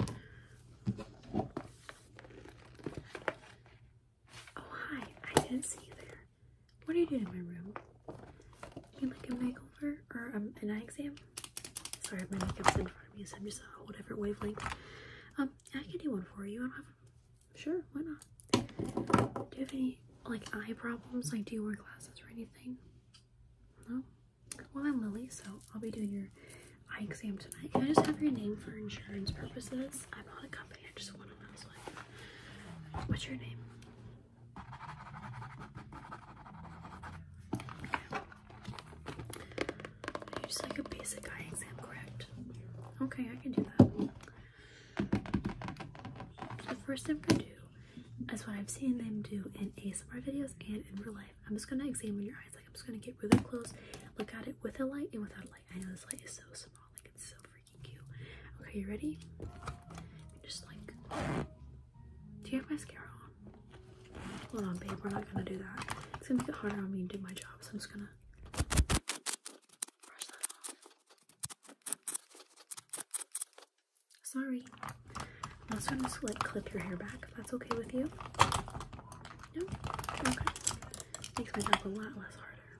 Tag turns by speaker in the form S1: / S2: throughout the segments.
S1: Oh, hi. I didn't see you there. What are you doing in my room? You like a makeover or um, an eye exam? Sorry, my makeup's in front of me, so I'm just a whole different wavelength. Um, I can do one for you. Sure, why not? Do you have any like eye problems? Like, do you wear glasses or anything? No. Well, I'm Lily, so I'll be doing your eye exam tonight. Can I just have your name for insurance purposes? I'm not a company, I just want to know. what's your name? Just like a basic eye exam, correct? Okay, I can do that. the first thing I'm gonna do is what I've seen them do in ASMR videos and in real life. I'm just gonna examine your eyes. Like I'm just gonna get really close, look at it with a light and without a light. I know this light is so small, like it's so freaking cute. Okay, you ready? Just like, do you have mascara on? Hold on, babe. We're not gonna do that. It's gonna make it harder on me to do my job. So I'm just gonna. Brush that off. Sorry. I'm also just like clip your hair back if that's okay with you. No? Okay. Makes my job a lot less harder.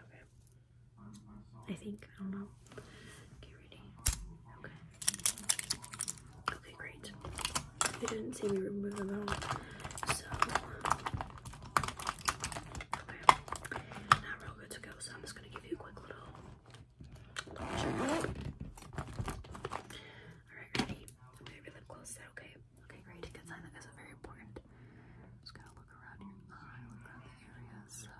S1: Okay. I think. I don't know. Okay, ready? Okay. Okay, great. You didn't see me remove them at all. So okay. Not real good to go, so I'm just gonna give you a quick little Alright, ready? I'm close. okay? Okay, great. Good sign. That is very important. just gonna look around your eye, look around the area. So,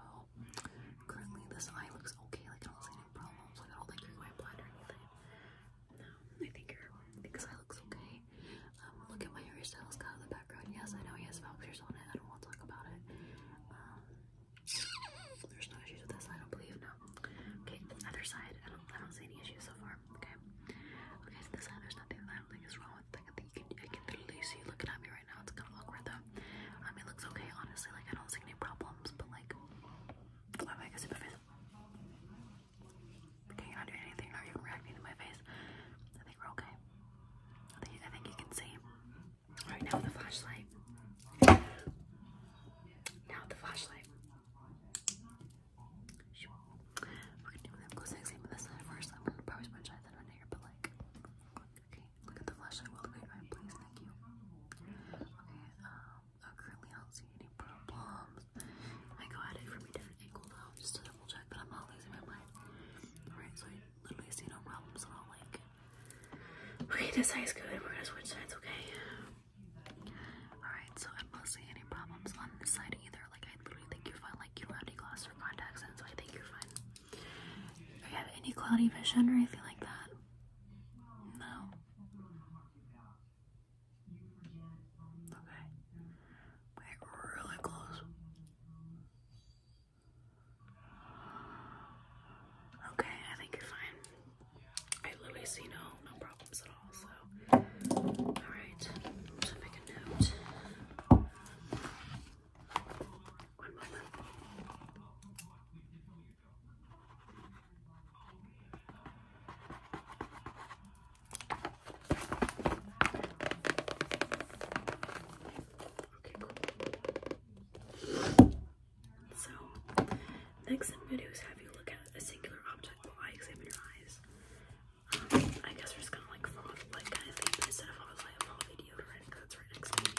S1: currently this eye looks okay. Like, I don't see any problems. I don't think you're going blind or anything. No, I think your I think this eye okay. look at my hairstyles, got in the background. Yes, I know he has vouchers on it. I don't want to talk about it. Um, there's no issues with this, I don't believe, no. Okay, other side, I don't, see any issues so far, okay? Okay, so this side, there's nothing I don't think is wrong with. Like, I think you can, I can literally see looking at me right now. It's kind of awkward, though. I mean, looks okay, honestly. Like, I don't see any problems, but, like, oh, I can see my Okay, you're not doing anything, not even reacting to my face. I think we're okay. I think you can see right now the flashlight. Now the flashlight. We're gonna do the close exam with this side first. I'm gonna probably sponge that on here, but like, okay, look at the flashlight. Well, wait, right, please, thank you. Okay, um, oh, I don't see any problems. I go it from a different angle though, just double check that I'm not losing my mind. Alright, literally see no problems at all. Like, okay, this side's good. We're gonna switch sides, okay? Alright, so I'm not seeing any problems on this side either. Like, I literally think you're fine. Like, you don't have any glasses or contacts in, so I think you're fine. If you have any cloudy vision or anything like that? No. Okay. really close. Okay, I think you're fine. I literally see no no problems at all. So, all right. So make a note cool. So, next I'm going to do is have you look at a singular object while I examine your eyes. Um, I guess we're just gonna like follow the light kind instead of I'll follow the deodorant because it's right next to me.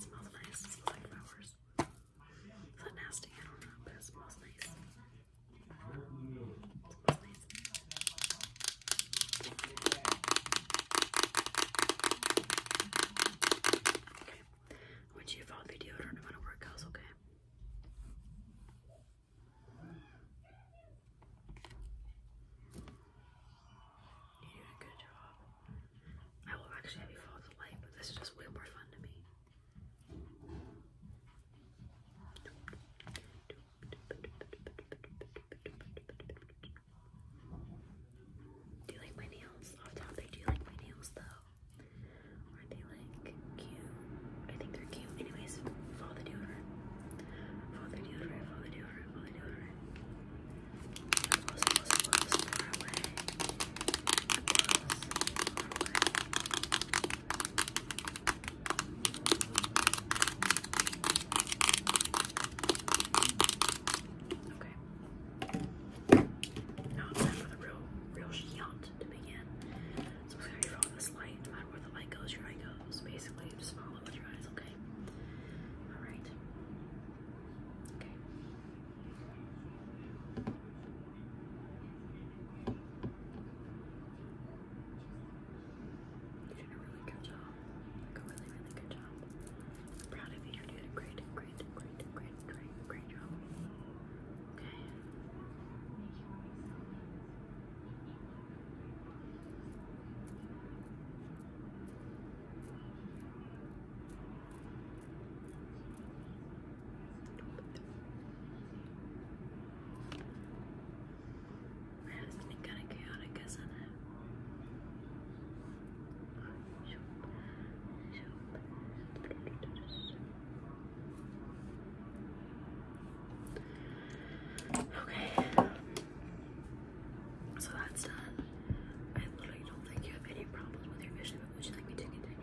S1: smells nice, it smells flowers. It's not nasty, I don't know, but it smells nice. I want you to follow me deodorant no matter where it goes, okay? You did a good job. I will actually have you follow the light, but this is just way more fun to me. Do you like my nails? Off topic, do like my nails though? Aren't they like cute? I think they're cute. Anyways, follow the deodorant. Follow the deodorant, follow the Okay. Now it's time for the real, real hunt to begin. So we're gonna draw this light. No matter where the light goes, your eye goes. Basically, just follow with your eyes. Okay. All right. Okay. You did a really good job. Like a really, really good job. I'm proud of you. You did a great, great, great, great, great, great job. Okay. Okay. That is kind of chaotic, isn't it? Okay, so that's done. I literally don't think you have any problems with your vision, but would you like me to continue?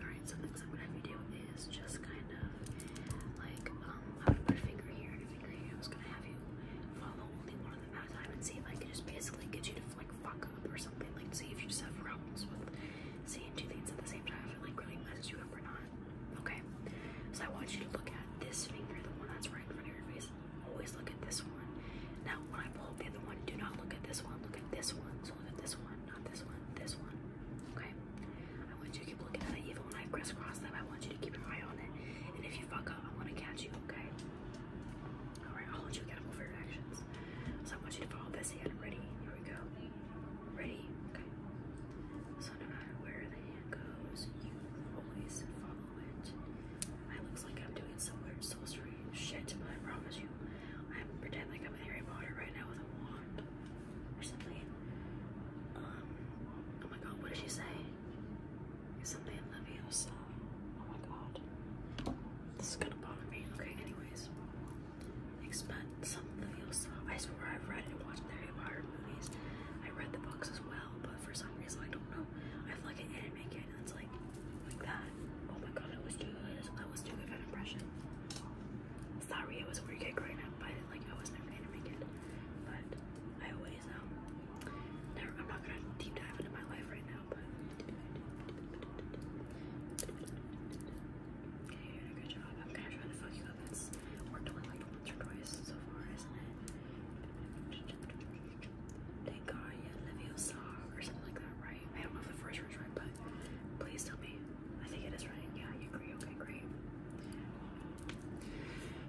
S1: Alright, so next up what I have to do is just kind of like um I would put a finger here a finger here. I was gonna have you follow only one of them at a time and see if I just basically get you to like fuck up or something. Like see if you just have with seeing two things at the same time if it like really messes you up or not. Okay. So I want you to look at this finger, the one that's right in front of your face. Always look at this one. Now when I pull the other one, do not look at this one, look at this one. So look at this one, not this one, this one. Okay. I want you to keep looking at it. Even when I crisscross them, I want you to keep an eye on it. And if you fuck up, I want to catch you, okay? Alright, i want you to get them for your actions. So I want you to follow this hand. Ready? Here we go. Ready? Okay. So no matter where the hand goes, you always follow it. It looks like I'm doing some weird sorcery shit, but I promise you, I'm pretending like I'm Harry Potter right now with a wand blonde or something. Um, oh my god, what did she say? Something Leviosa. Oh my god. This is gonna bother me. Okay, anyways. Expect some Leviosa. I swear I've read and watched the Harry Potter movies. I read the books as well, but for some reason, I don't know. I feel like an anime kid, and it's like, like that. Oh my god, I was too good. I was too good an impression. Sorry, it was a weird kick right now, but like I was never gonna make it. But I always know. Um, never I'm not gonna deep dive into my life right now, but Okay, you're doing a good job. I'm gonna try to fuck you up. It's worked only like once or twice so far, isn't it? Thank God, yeah, Leviosa or something like that, right? I don't know if the first word's right, but please tell me. I think it is right. Yeah, you agree. Okay, great.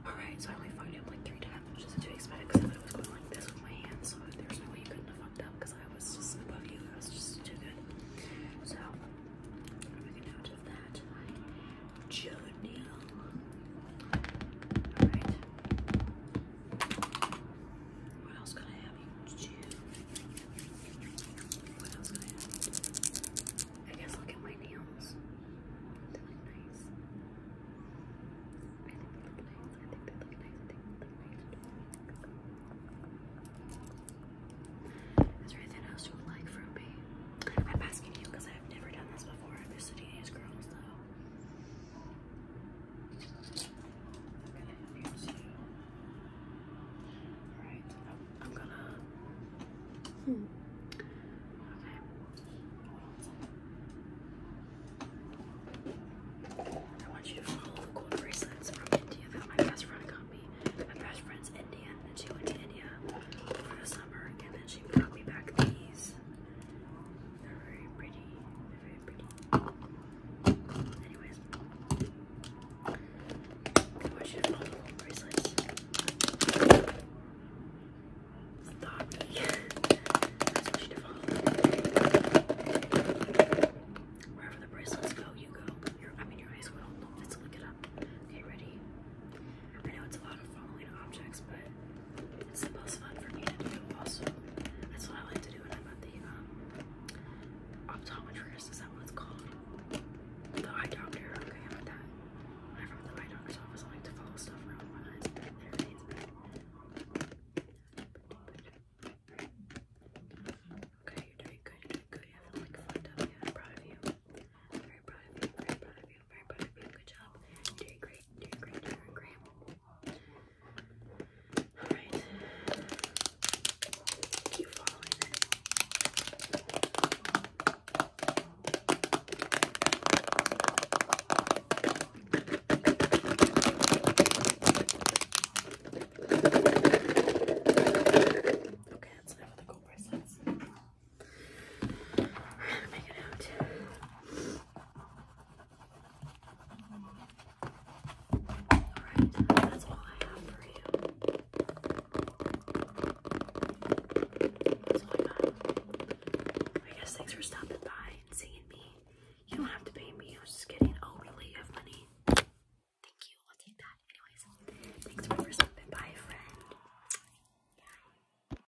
S1: Alright, so I only fucked up like three times, which isn't too because I was going like this with my hands, so there's no way you couldn't have fucked up because I was just above you. I was just too good. So, I'm making note of that. Jodil. Alright. What else can I have you do? What else can I have you do? I guess look at my nails. They look nice. I think they look nice. I think they look nice. I think they look nice. Is there anything else you would like from me? I'm asking you because I've never done this before. I'm used to doing these girls though i want you to follow the gold bracelets from India my best friend got me. My best friend's Indian, and she went to India for the summer, and then she brought me back these. They're very pretty. They're very pretty. Anyways, they want you to follow the bracelets. Stop me. That's what you to follow. Wherever the bracelets go, you go. I mean, your eyes will. Let's look it up. Okay, ready? I know it's a lot of following objects, but it's the most fun for me to do also. That's what I like to do when I'm at the um, optometrist. Is that what it's called? The eye doctor. Okay, I like that. I'm at the eye doctor's office, I like to follow stuff around my eyes. Okay, you're doing good, you're doing good. You are doing good you have like fucked I'm proud of you. Very proud of you, very proud of you, very proud of you. Good job. doing great, doing great, doing great. Alright. Keep following Okay, that's enough of the gold bracelets. We're gonna make it out. Alright, that's all I have for you. I guess thanks for stopping by and seeing me. You don't have to pay me, I was just kidding. Oh, really? You money? Thank you, I'll take that. Anyways, thanks for stopping by, friend. Bye.